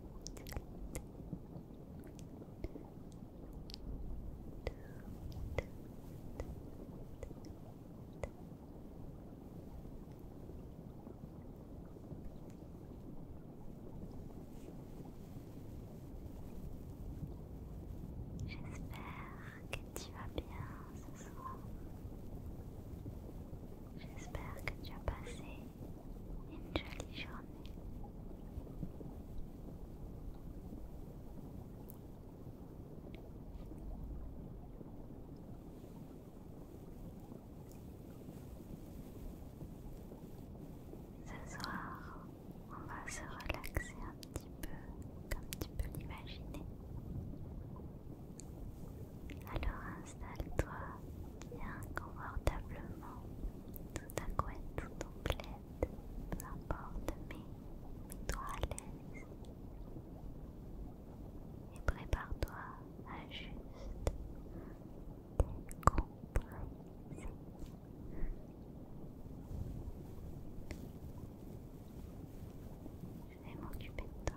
J'espère que tu vas bien ce soir. J'espère que tu as passé une jolie journée. Ce soir, on va se relaxer un petit peu, comme tu peux l'imaginer. Alors installe-toi bien confortablement, tout à couette, tout en peu importe, mais mets-toi à l'aise. Et prépare-toi à juste décompresser. Je vais m'occuper de toi.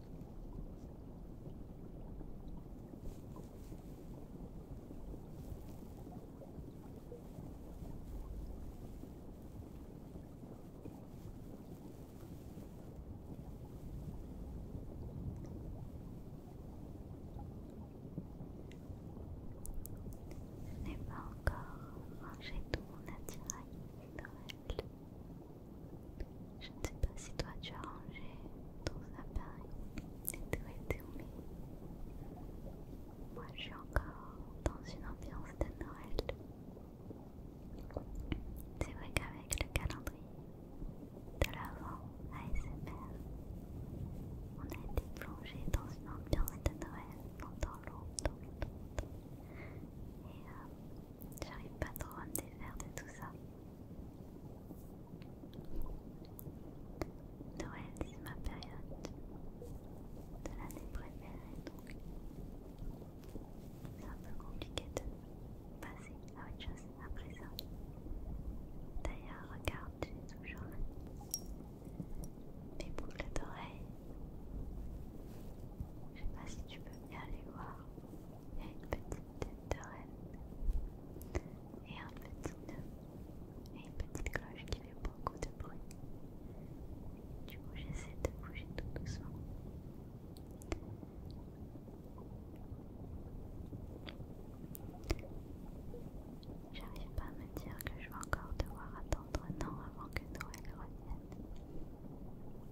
Je n'ai pas encore mangé tout mon attirail je ne sais pas si toi tu as rangé ton appareil et tout tout, mais Moi je suis encore dans une ambiance de Noël. C'est vrai qu'avec le calendrier de l'avant ASMR, on a été plongé dans une ambiance de Noël dans l'eau longtemps, Et euh, j'arrive pas trop à me défaire de tout ça. Noël, c'est ma période de l'année préférée, donc c'est un peu compliqué de passer à autre chose après ça. D'ailleurs, regarde, j'ai toujours mes boucles d'oreilles. Je sais pas si tu peux bien les voir. Il y a une petite tête de reine et un petit nœud et une petite cloche qui fait beaucoup de bruit. Du coup, j'essaie de bouger tout doucement. J'arrive pas à me dire que je vais encore devoir attendre un an avant que Noël revienne.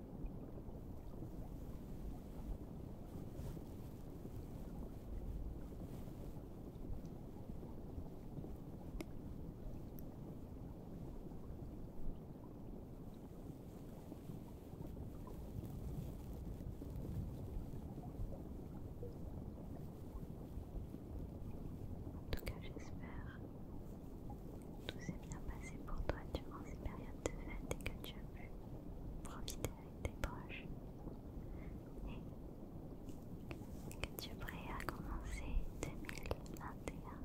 En tout cas, j'espère tout s'est bien passé pour toi durant ces périodes de fête et que tu as pu profiter avec tes proches et que tu es prêt à commencer 2021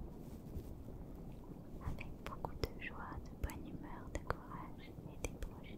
avec beaucoup de joie, de bonne humeur, de courage et des proches.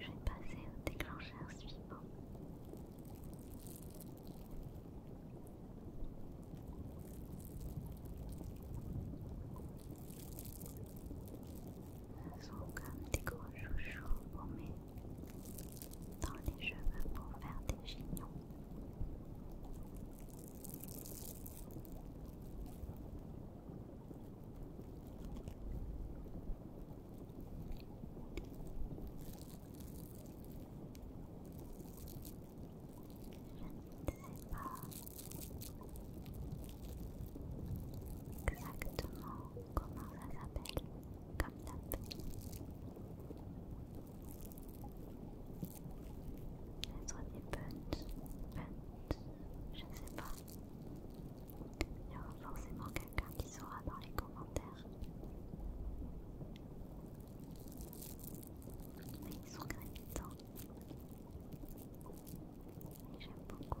Je vais passer au déclencheur suivant. Ce sont comme des gros chouchous pour met dans les cheveux pour faire des gignons. Je ne sais pas exactement comment ça s'appelle comme tape. Je ne je sais pas. Il y aura forcément quelqu'un qui saura dans les commentaires. Mais ils sont gravitants. J'aime beaucoup.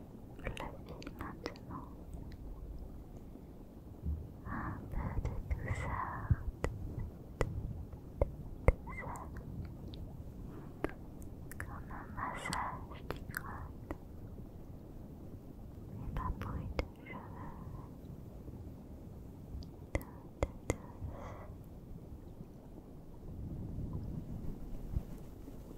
la vie maintenant. Un peu de douceur, Comme un massage du crâne. Et pas bruit de cheveux. Tout,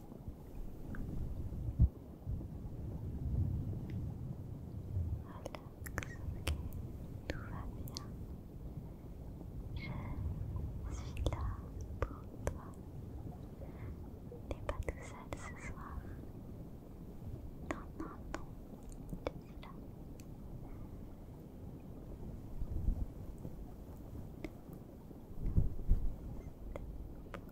ok, tout va bien. Je suis là pour toi. n'es pas tout seul ce soir. Non, non, non, je suis là. Pour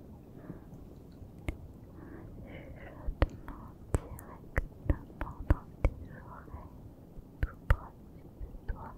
Je Chuchotement directement dans tes oreilles, tout près de toi. Très très très proche du micro.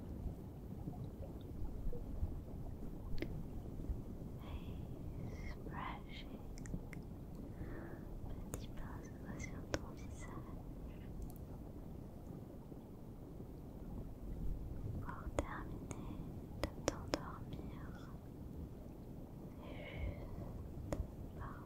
brushing petit pinceau sur ton visage pour terminer de t'endormir juste parfait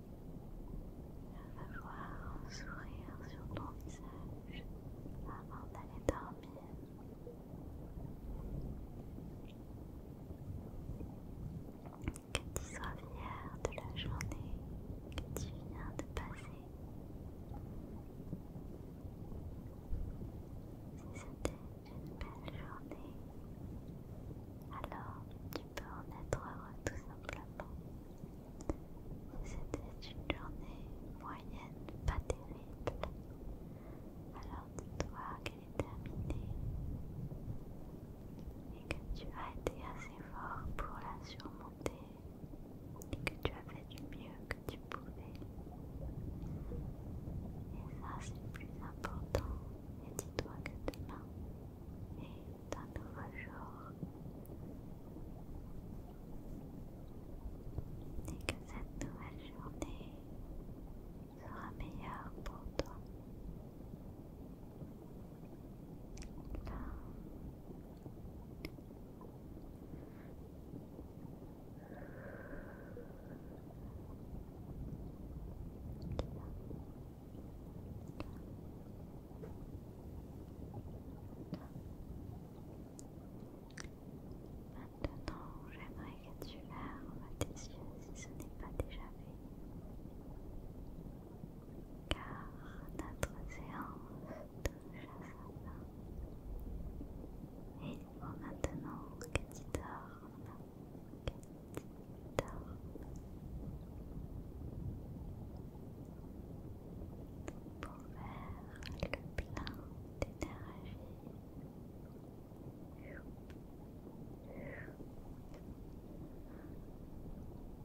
Je veux voir un sourire sur ton visage avant d'aller dormir. Que tu sois fier de la journée que tu viens de passer. Si c'était une belle journée, alors peux en être heureux tout simplement. c'était une journée moyenne, pas terrible, alors dis-toi qu'elle est terminée et que tu as été assez fort pour la surmonter et que tu as fait du mieux que tu pouvais. Et ça c'est le plus important. Et dis-toi que demain est d'un nouveau jour et que cette nouvelle journée sera meilleure pour toi. Là, Maintenant, j'aimerais que tu lèves tes yeux si ce n'est pas déjà fait. Car notre séance touche à sa Et maintenant que tu dors, pour faire le plein d'énergie.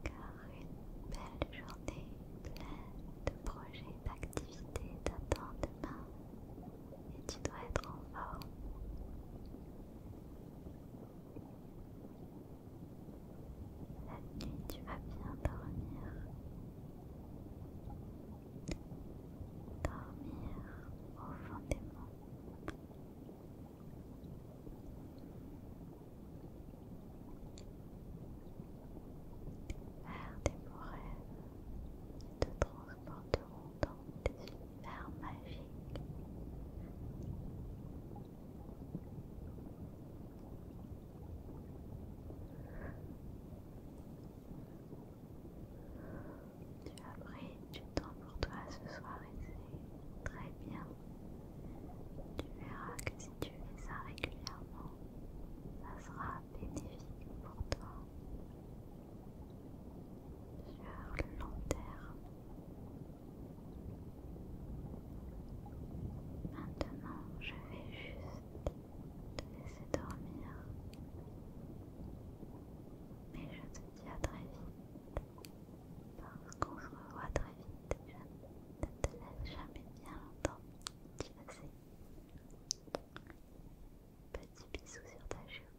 Car une belle journée pleine de projets, d'activités t'attend demain et tu dois être en forme nuit, tu vas bien dormir. Dormir au fond des monts, beaux rêves qui te transporteront dans tes univers super magique. Tu as pris du temps pour toi ce soir et c'est très bien. Tu verras que si tu fais ça régulièrement, ça sera bénéfique pour toi sur le long terme. Maintenant, je vais juste te laisser dormir. Mais je te dis à très vite. Parce qu'on se revoit très vite. Je ne te laisse jamais bien longtemps. Tu le Petit bisou sur ta joue.